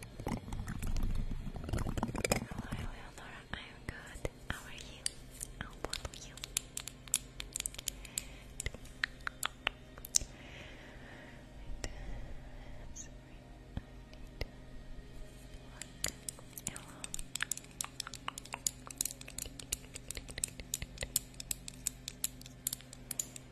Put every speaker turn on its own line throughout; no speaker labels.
Hello, Eleonora. I am good. How are you? How about you? Hello. Hello.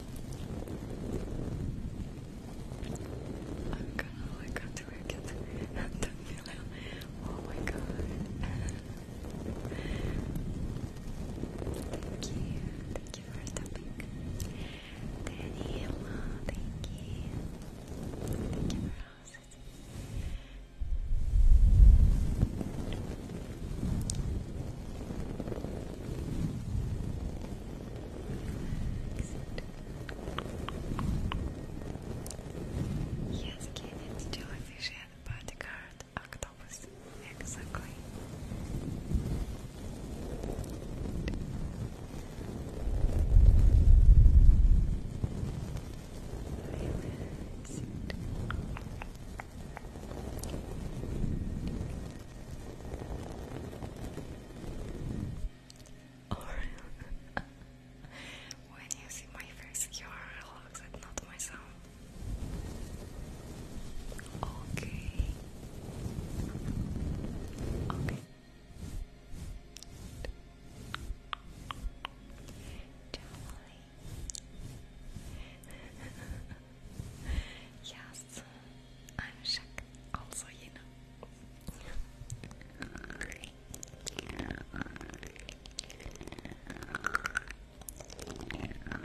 I'm gonna look at Wicked and the Oh my god. thank you. Thank you for stopping. Daniela, thank you. Thank you for hosting. Yes, can Kenneth, jellyfish and bodyguard, octopus, exactly. Or when you see my face, your looks and not my sound. Okay. Okay. Yes, I'm Shaq, also you know. Hello, Japan. Hello,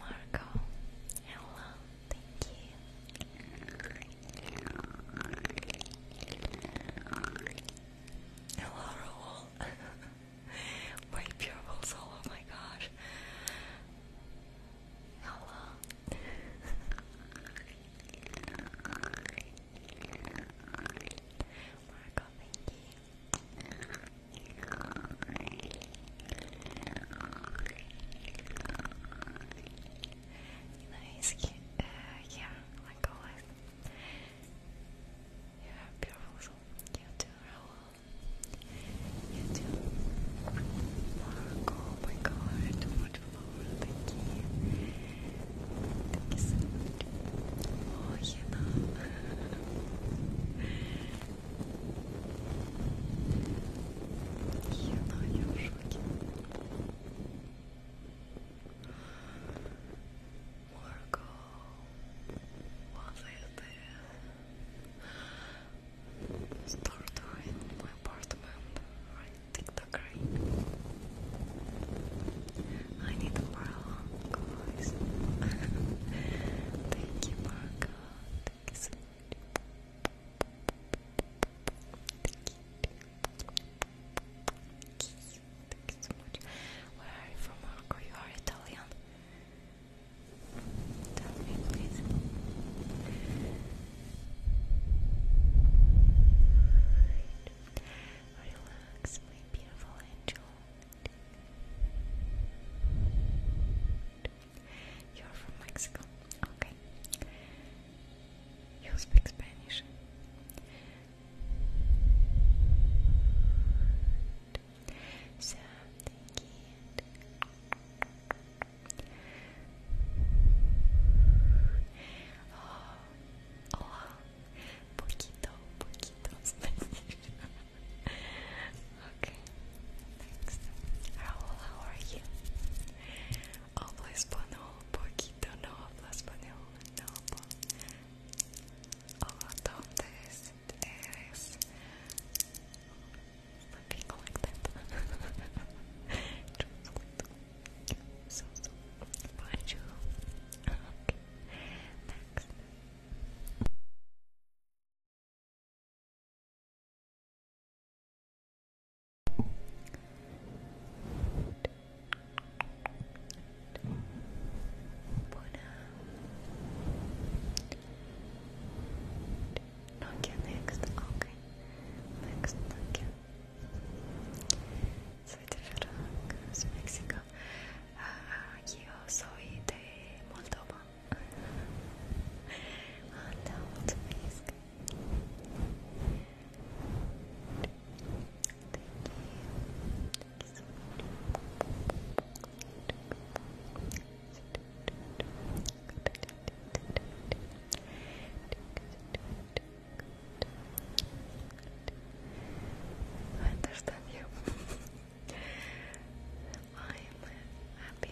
Marco. Hello, Thank you. Hello, My pure soul, oh my gosh. Hello. Marco, uh, you yeah, like always. You beautiful. You too, Raul. You too. oh my god, too Thank you. Thank you so much. Oh, you know. Я, я в шоке. Марго, was it my apartment? Right, TikTok, right? I need a while, guys. Thank you, Margo. Thank you Thank you so much. Where are you from, Marco? You are Italian. Tell me, please. Relax, my beautiful angel. You're from Mexico. Okay. You speak Spanish. So, oh, oh, Poquito, poquito Spanish. Okay, thanks. how are you? Hablo espanhol, poquito, no hablo español, no hablo. Hola, ¿dónde eres? Looking like that. so, so, bonjour. Okay, next. Nokia next, okay. Next Nokia. Soy de Ferrara, soy de México. Uh, io sono di Moldova. On down Thank you. so happy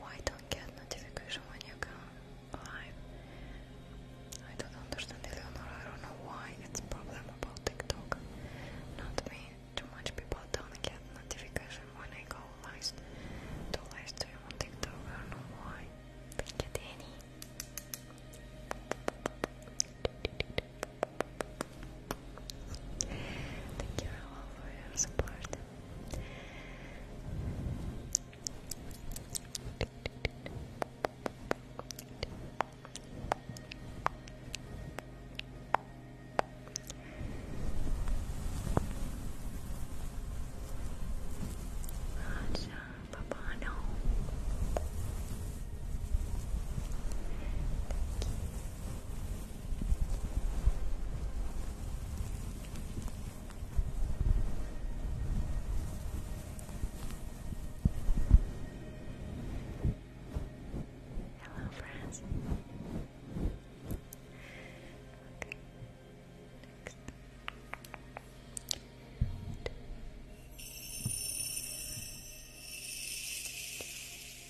Why don't get notification when you come live? I don't understand Eleanor, I don't know why it's problem about TikTok. Not me. Too much people don't get notification when I go live to live stream on TikTok, I don't know why. Don't get any. Thank you all for your support. Raja Babano. Hello, friends. Okay. Next. And.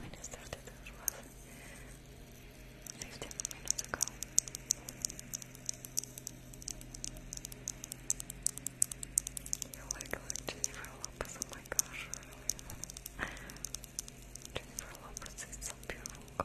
when I started this was 15 minutes ago. You look like Jennifer Lopez, oh my gosh, really. Jennifer Lopez is so beautiful,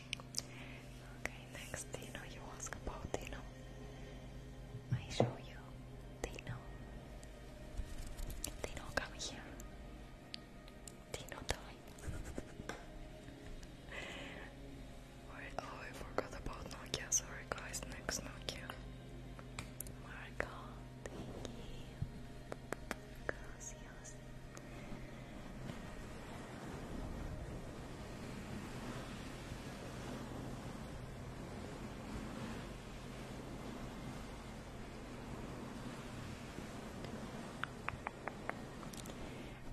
Okay, next, you you ask about, you know, I show you, they know, they know come here, they know die. Wait, oh, I forgot about Nokia, sorry guys, next Nokia. Marco, thank you.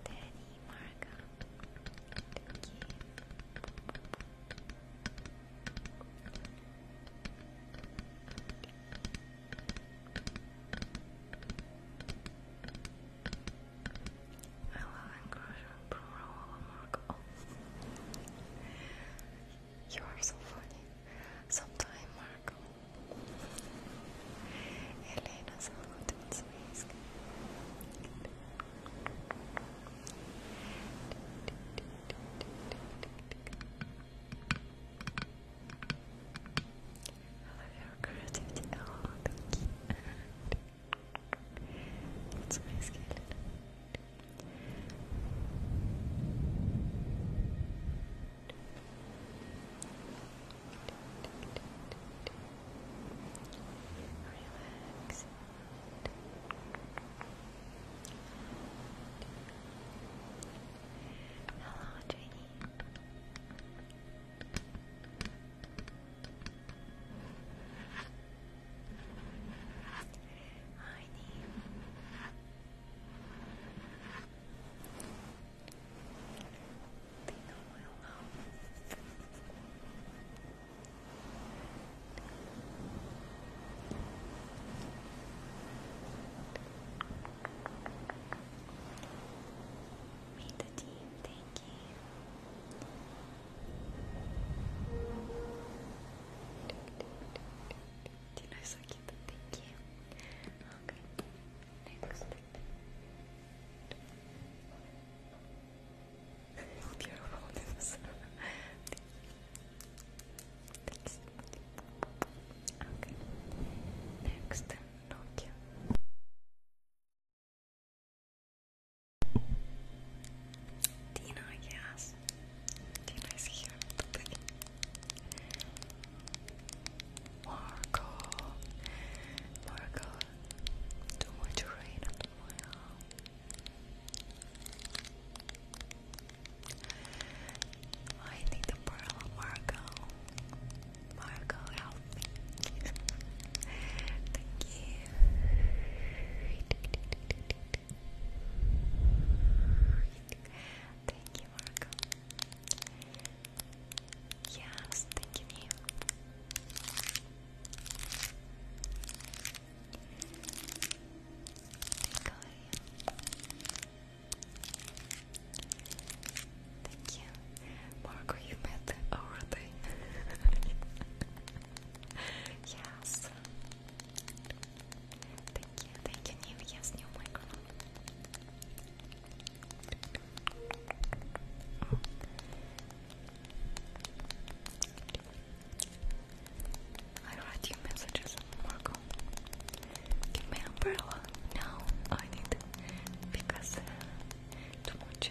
Danny, Marga, thank you. Thank I love encroachment plural mark. You are so funny. Sometime, Marco. Elena salut in Svenska. I love your creativity. Oh, thank you. That's my skeleton. Relax. Hello, Jenny. Honey. They know I love. the team, thank Dino is so cute, thank you. Okay, next. Beautiful, Thanks. Okay, next, Nokia. Tina, yes. Tina here. Marco, Marco, too much rain at my I need the pearl, Marco. Marco, help Thank you. Thank you, Marco. Yes, Thank you. Thank you. Marco, you met already. Oh, yes. Thank you, thank you, new, yes, new microphone. I read your messages, Marco. Give me umbrella. No, I need because too much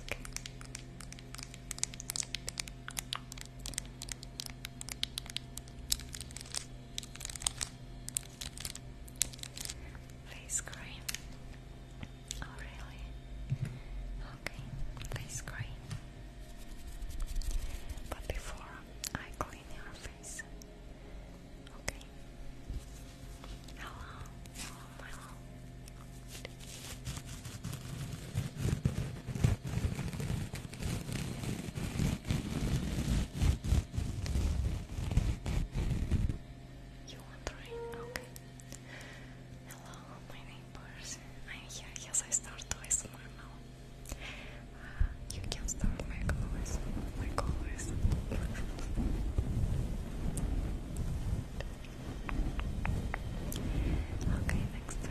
okay. Face cream. Oh really? Okay, face cream. But before I clean your face. Okay. Hello. You want to Okay. Hello, my neighbors. I'm here. Yes, I start to ASMR now. Uh, you can start like always. Like always. Okay, next time.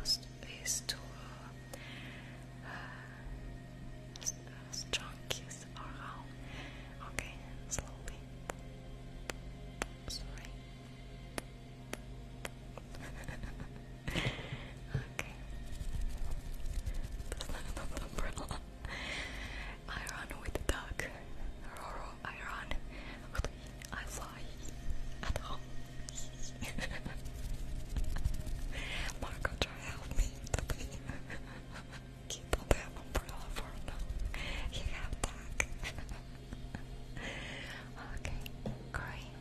Ost is strong kiss or Okay, slowly. Sorry. okay. That's not an umbrella. I run with the duck. Roro, I run. I fly. Marco, try help me today. he umbrella for now. He have duck. okay, great.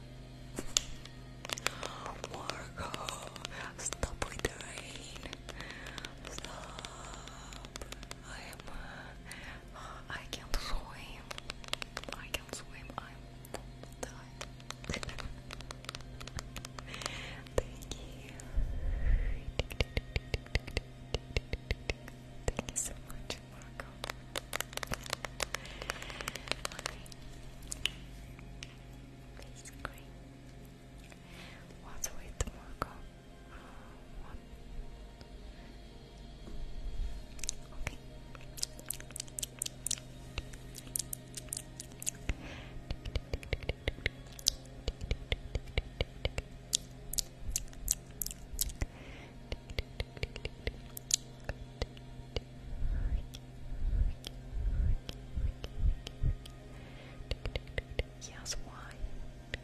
Marco, stop with the rain. Stop. I am. I can't swim. I can't swim. I'm dying. Thank you. Thank you so much, Marco. what's with Marco? one. Okay. Yes, why?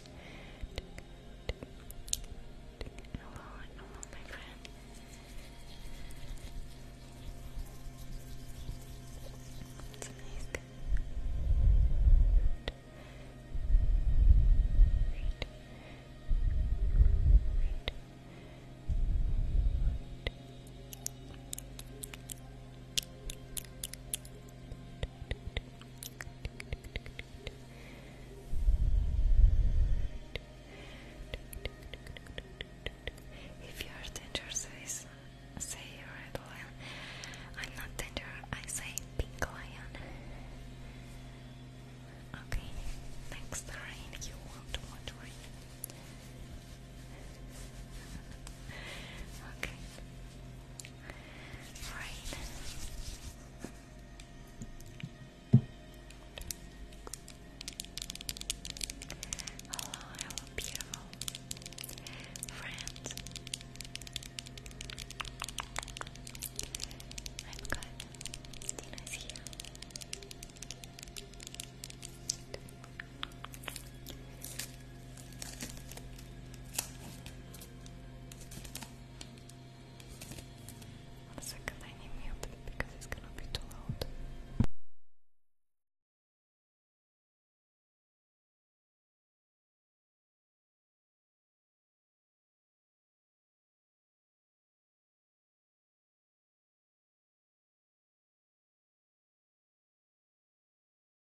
Hello, hello, my friend. It's amazing. Good. If you are dangerous, say red lion. I'm not dangerous, I say pink lion. Okay, next rain. You want what rain? Okay. Rain. Hello, hello, beautiful friends. I'm good. Dina's here. Hello, I'm going One second, I need mute because it's gonna be too loud.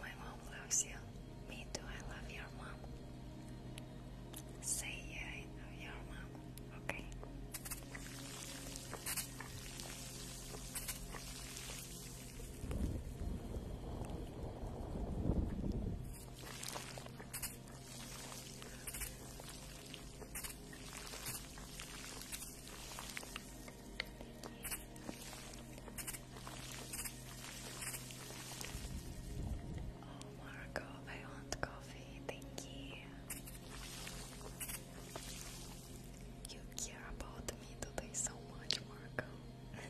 My mom loves you. Me too, I love your mom. Say yeah, I know your mom, okay? Oh, Marco, I want coffee. Thank you. You care about me today so much, Marco hello,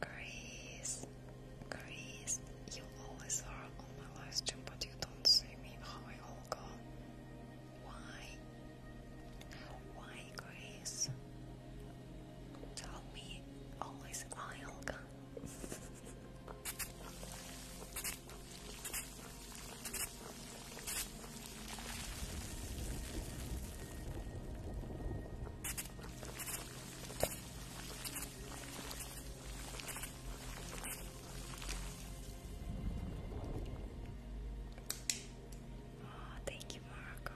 Grace. Grace, you always are on my live stream, but you don't see me. How I all go? Why? Why, Grace? Tell me, always Olga. Oh, thank you, Morocco.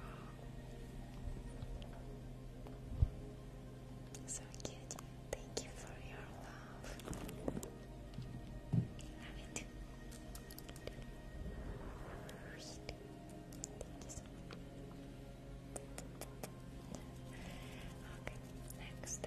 So cute. Thank you for your love. Love it. Okay, next.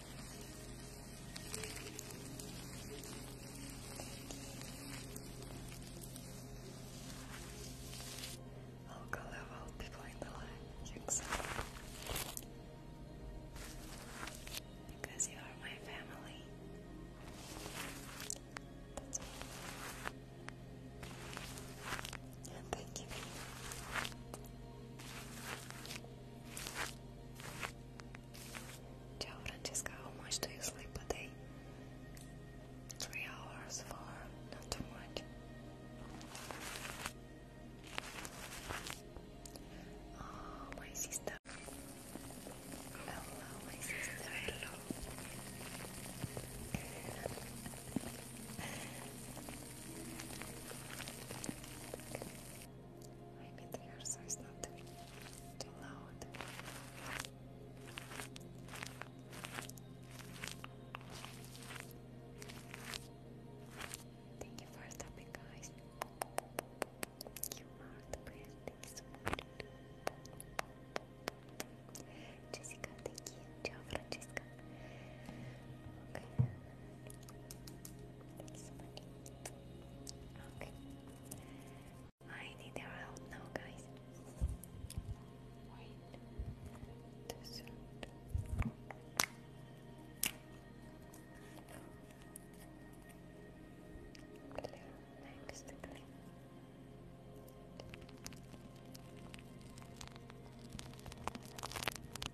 I'll go level people in the line, Because you are my family. That's all. And thank you. Ciao Francesca, how much do you sleep a day? Three hours, four, not too much. Oh, my sister. Hello, my sister. Hello. I Maybe the air so it's not too, loud. Thank you for stopping, guys. You are the best. Jessica, thank you. Ciao, that's so I need your help now, guys.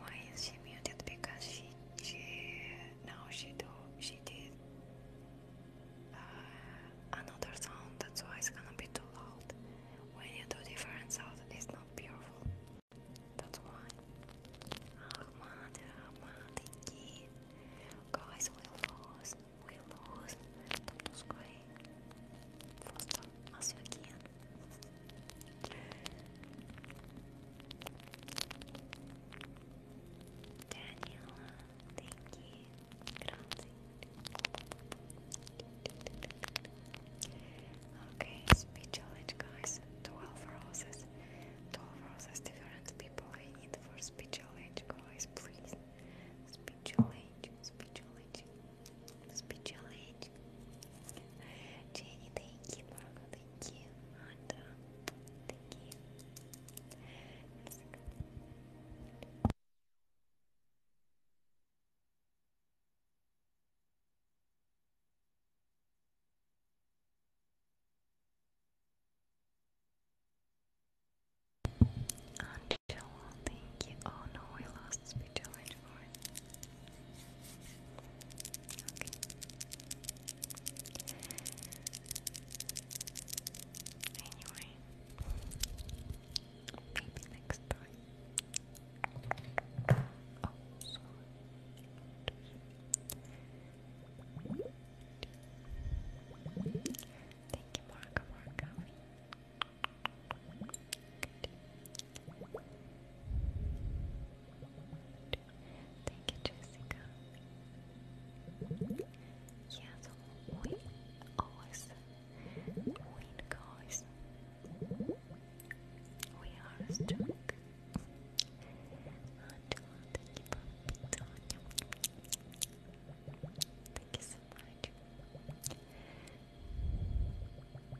Why is she muted? Because she she now she do she did uh, another sound. That's why it's gonna be too loud. When you do different sound, it's not beautiful. That's why. Ahmad, Ahmad, guys, we lost, we lost. Don't lose, guys. Faster as you can. Daniela, thank you. Okay, speed challenge, guys. 12 roses. 12 roses, different people I need for speed challenge, guys, please. Speed challenge, speed challenge. Speculate. Jenny, thank you. Marco, thank you. Honda, thank you. Angela, thank you. Oh no, I lost speech. Anyway, maybe next time. Oh, sorry. Thank you, Marco Thank you, Jessica. Yes, we always win, guys. We are strong. Uh, Thank you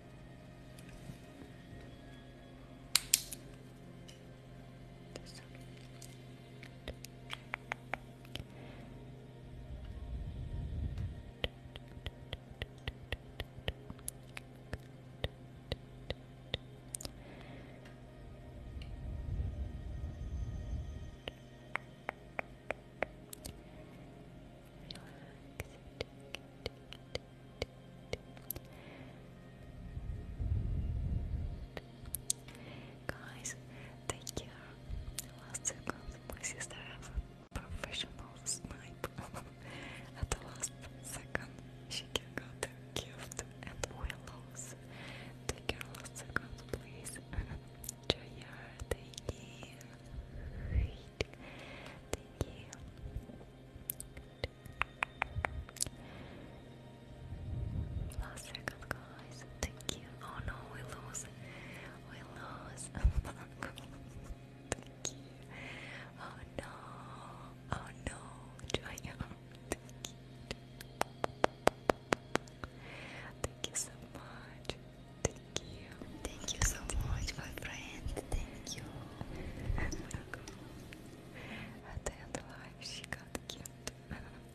This one. Good. Guys, take care. Last second, my sister has a professional snipe. At the last second, she can got gift and willows. Take care, last second, please. Joya, take care. Thank you. Last second, guys. Thank you. Oh no, we lose. We lose. Thank you. Oh no. Oh no. Joya. Thank you. Thank you so much. Thank you. Thank you so much, my friend. Thank you. At the end of life, she got cute.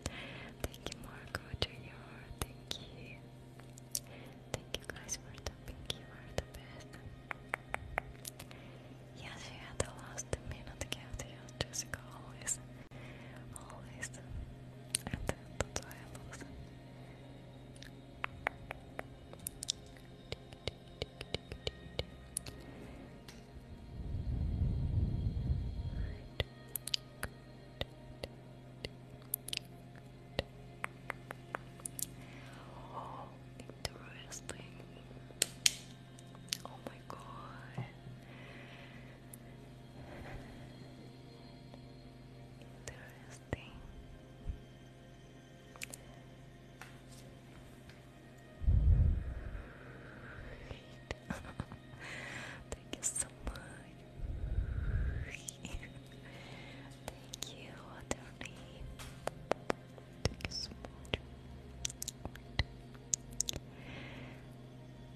Thank you, Marco Jr. Thank you. Thank you guys for tapping. You are the best. Yes, you had the last minute gift. You always, always. And that's why Oh, interesting. Oh my god. Interesting. Thank you so much. Thank you, Attorney. Thank you so much.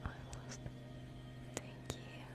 I lost. Thank you.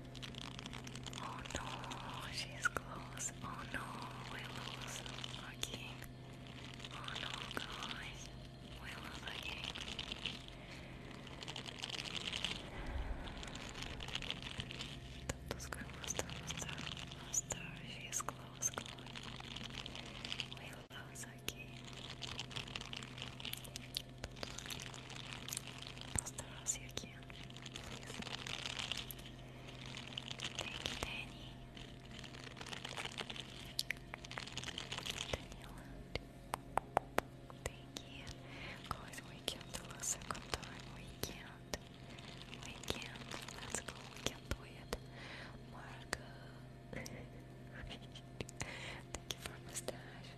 Oh no, she's close. Oh no, we lose our Oh no, guys, we lose our king. Tutuska, master, master, master. She's close, close. We lose our king. Tutuska, master, master, you. Thank you, Danny. Thank you. Guys, weekend the second time. Weekend. Weekend. Let's go. We can do it. Marco. Thank you for mustache.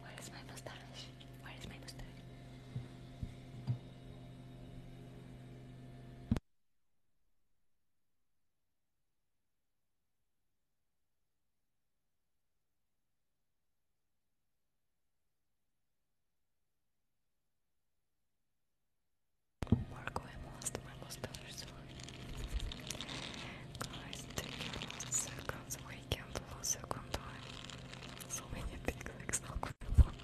Where is my mustache? Where is my mustache? Marco, I lost my mustache. Guys, take your circles weekend was a good time. So many things like Snoqualmie.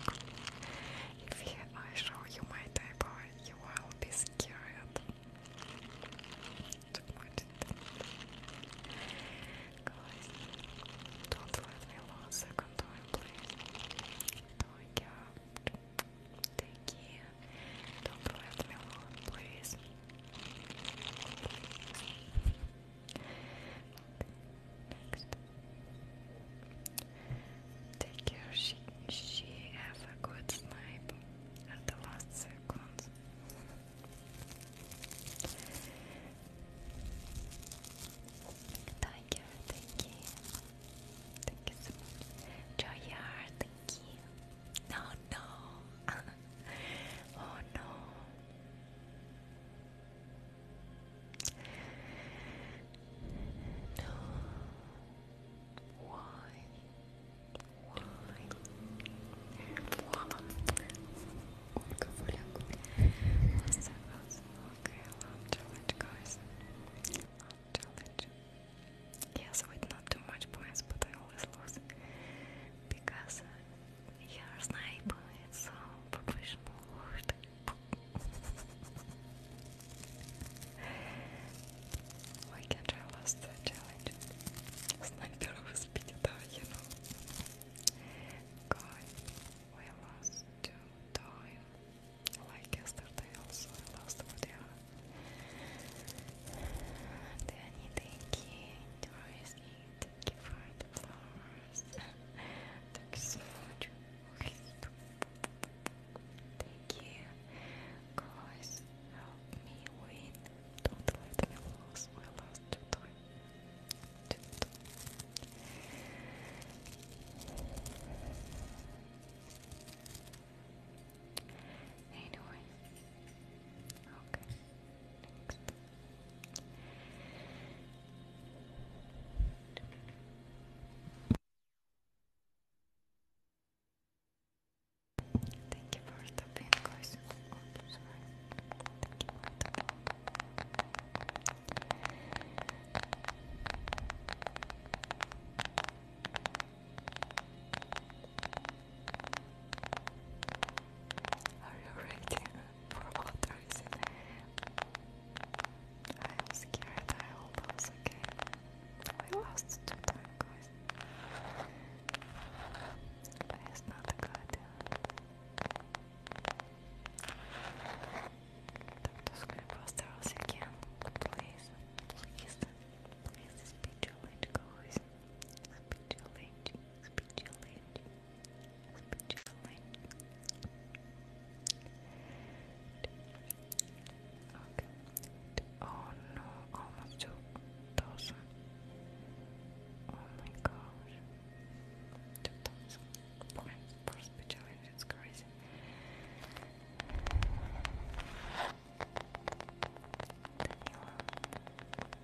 If I show you my table, you will be scared. don't let me lose second time, please. Don't care. Take care. Don't let me alone, please. Next. Take care, she, she have a good snipe at the last seconds. Tiger, thank you. Thank you so much. Joyard, thank you. No, no. oh no. No. Why? Why? Olga Volyanko. Asta was okay, love challenge, guys. challenge. Yes, with not too much points, but I always lose because your sniper is so professional word. Why can't last the challenge? Sniper was beat up, you know. God, we lost two time. Like yesterday also I lost video. And then I think it is it. Thank you for the Thank you Guys, help me win. Don't let me lose. I lost two times. Anyway. Okay. Thank you for the pin sorry. Are you ready? for what reason? I'm scared. I hope I was okay. We lost two time guys. it's not good. Doctor Screenbuster, as you can, please, please, please, speed your late guys. Speed your late, speed your late. Oh no, almost two thousand. Oh my gosh. Two thousand points for speed challenge, it's crazy.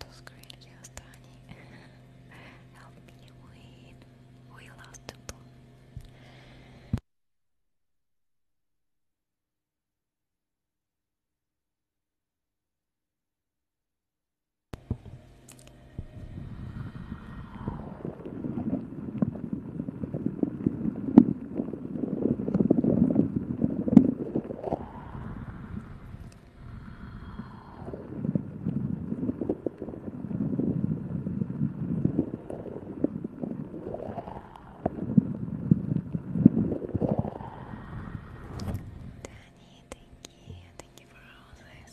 Don't screen just Tony. Help me win. We lost people. Danny, thank you. Thank you for all the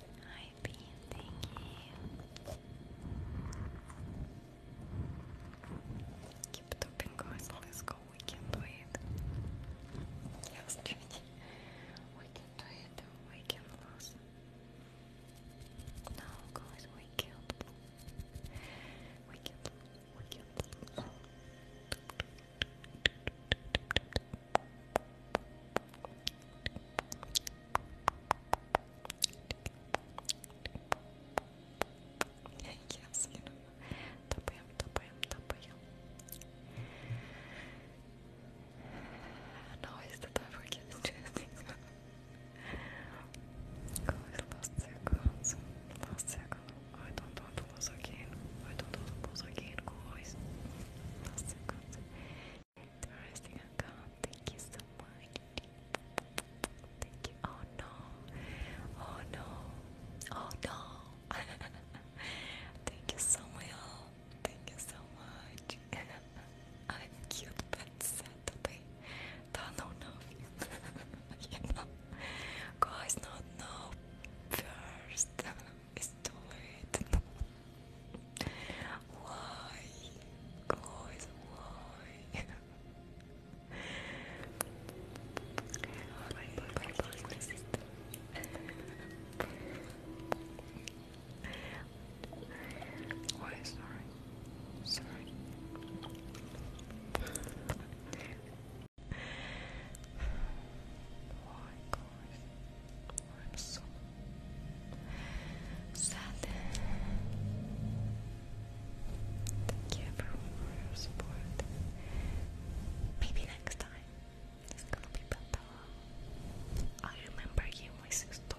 Hi, Bean, thank you. Keep it guys, let's go, we can do it. Yes, Jenny, we can do it, we can lose. No, guys, we can We can we can yes, you know. Tapıyorum, tapıyorum, tapıyorum. No, it's the time for getting dressed. Guys, last seconds. Last second. I don't want again. I don't want to lose again, guys. Last Thank you so much. Thank you. Oh no. Oh no. Oh no. Thank you so much. Thank you so much. I'm cute but sad Don't know you Guys, not know first. it's too late. Why? Guys, why? Why, sorry. Sorry. Why, Maybe next time it's gonna be better. I remember you, my sister.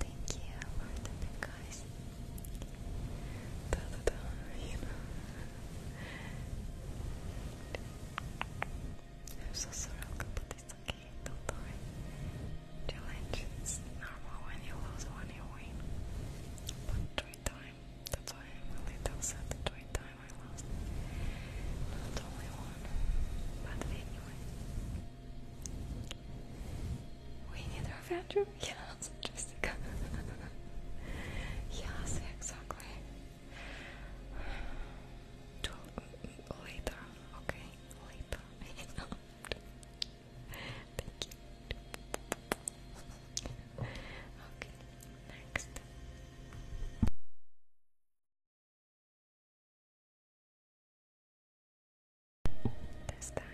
Thank you for the guys da, you I'm so sorry, but it's okay, don't worry. Challenge is normal when you lose, when you win. But three times, that's why I'm a little sad. Three times I lost. Not only one, but anyway. We need our bedroom? Yeah, so Jessica. yes, exactly. To later, okay? Later. Thank you. Okay, next this time.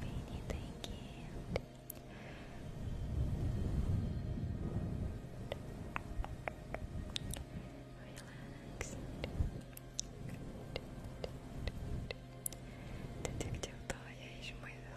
Vinny, thank you. Relax. Detective Toya is my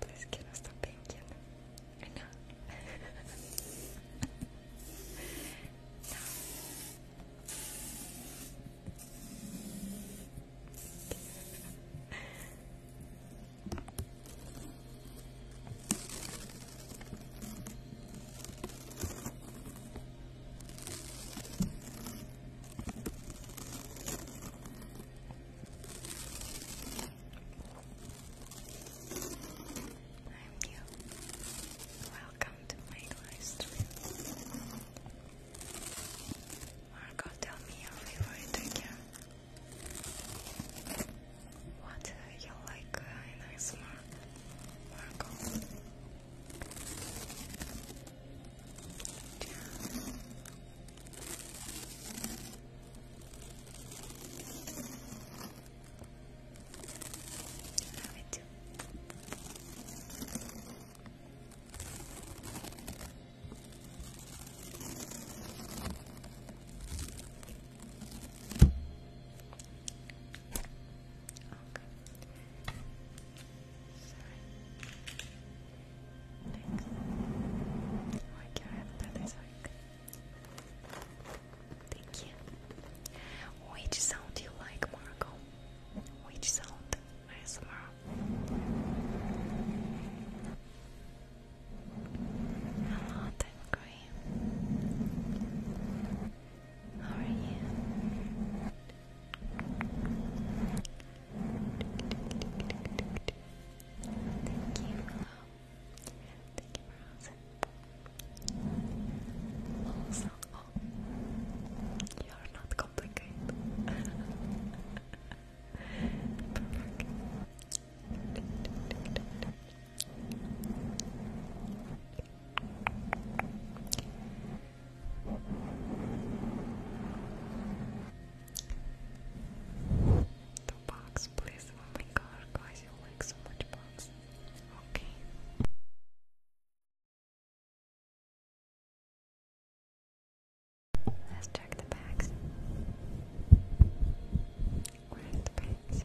Please give us the bacon. no. I'm you. Welcome to my live Marco, tell me your favorite again. What you like uh, in ASMR, Marco? Love it too. Okay. Sorry. Thanks. Oh, I can't Thank you. Which sound do you like, Marco? Which sound? ASMR. A lot, I agree. How are you? Thank you, Thank you for asking. Also, you are not complicated. The box, please. Oh my god, guys, you like so much box. Okay. Let's check the bags. Where's the bags?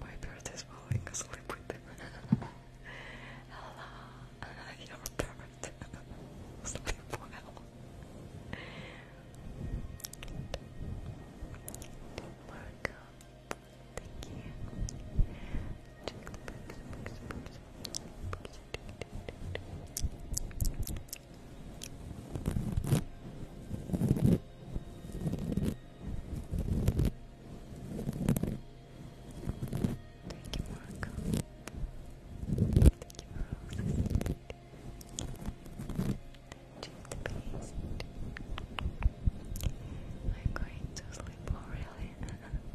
My bird is falling asleep with him. Hello, your bird. Sleep well. Marco, thank you. Thank you, Marco. Thank you, Rose. Just a piece. I'm going to sleep well, really.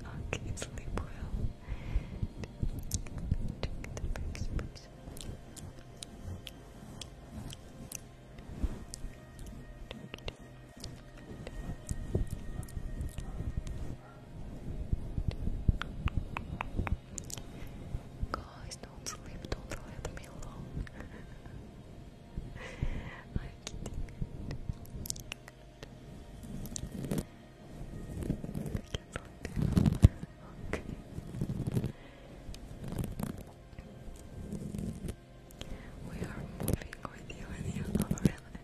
okay, sleep well. Check the pics, Guys, don't sleep, don't let me alone. Okay. We are moving with you and you know really.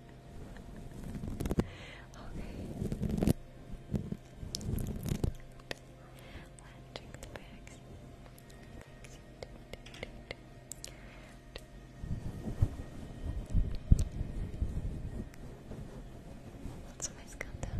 Okay. Let's check the bags. What's my scandal?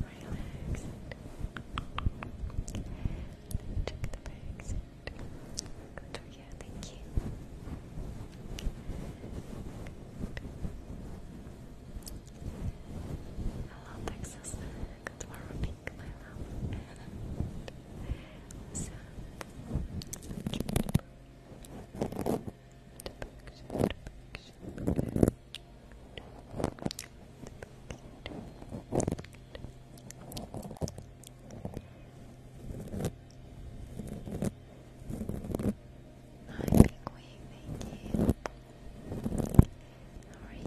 Relax. Check the bags. Good, yeah, thank you. Hello, Texas. Good morning, my love. Hi, Big Wing, thank you. How are you?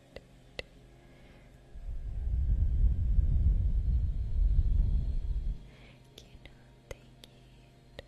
Cannot take it. Good,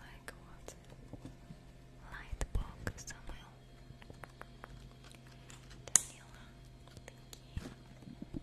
Like what? Light book Samuel. Daniela, thank you.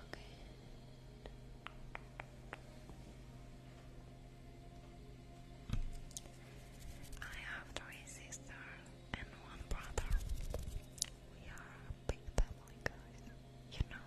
Okay. I have three sisters and one brother. We are big family, guys. You know.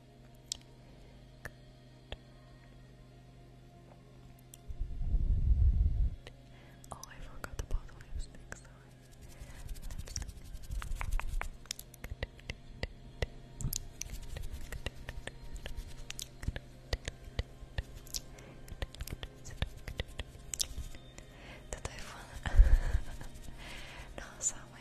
Good. Oh, I forgot the bottle sorry. Lipstick. I fall? no, so my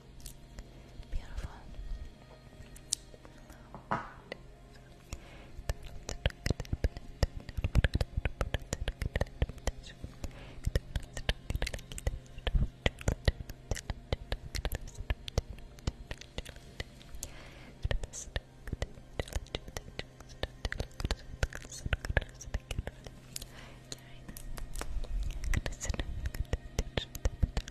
Beautiful. Hello.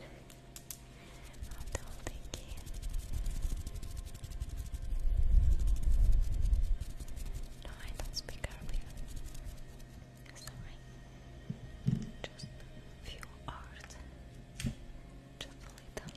I'm still thinking. No, I don't speak Arabic. Sorry. Just few hours. Just a little.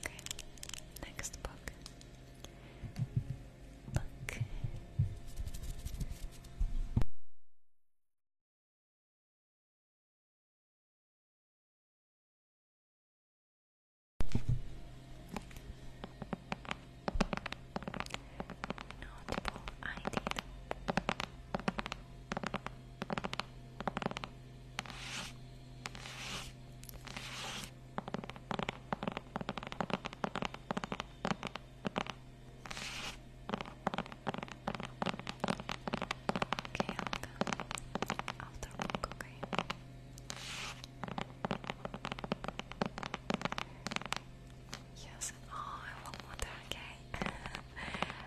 Okay, next book. Book. Notable ID. Okay, i after book, okay. Yes, oh, I want water, okay.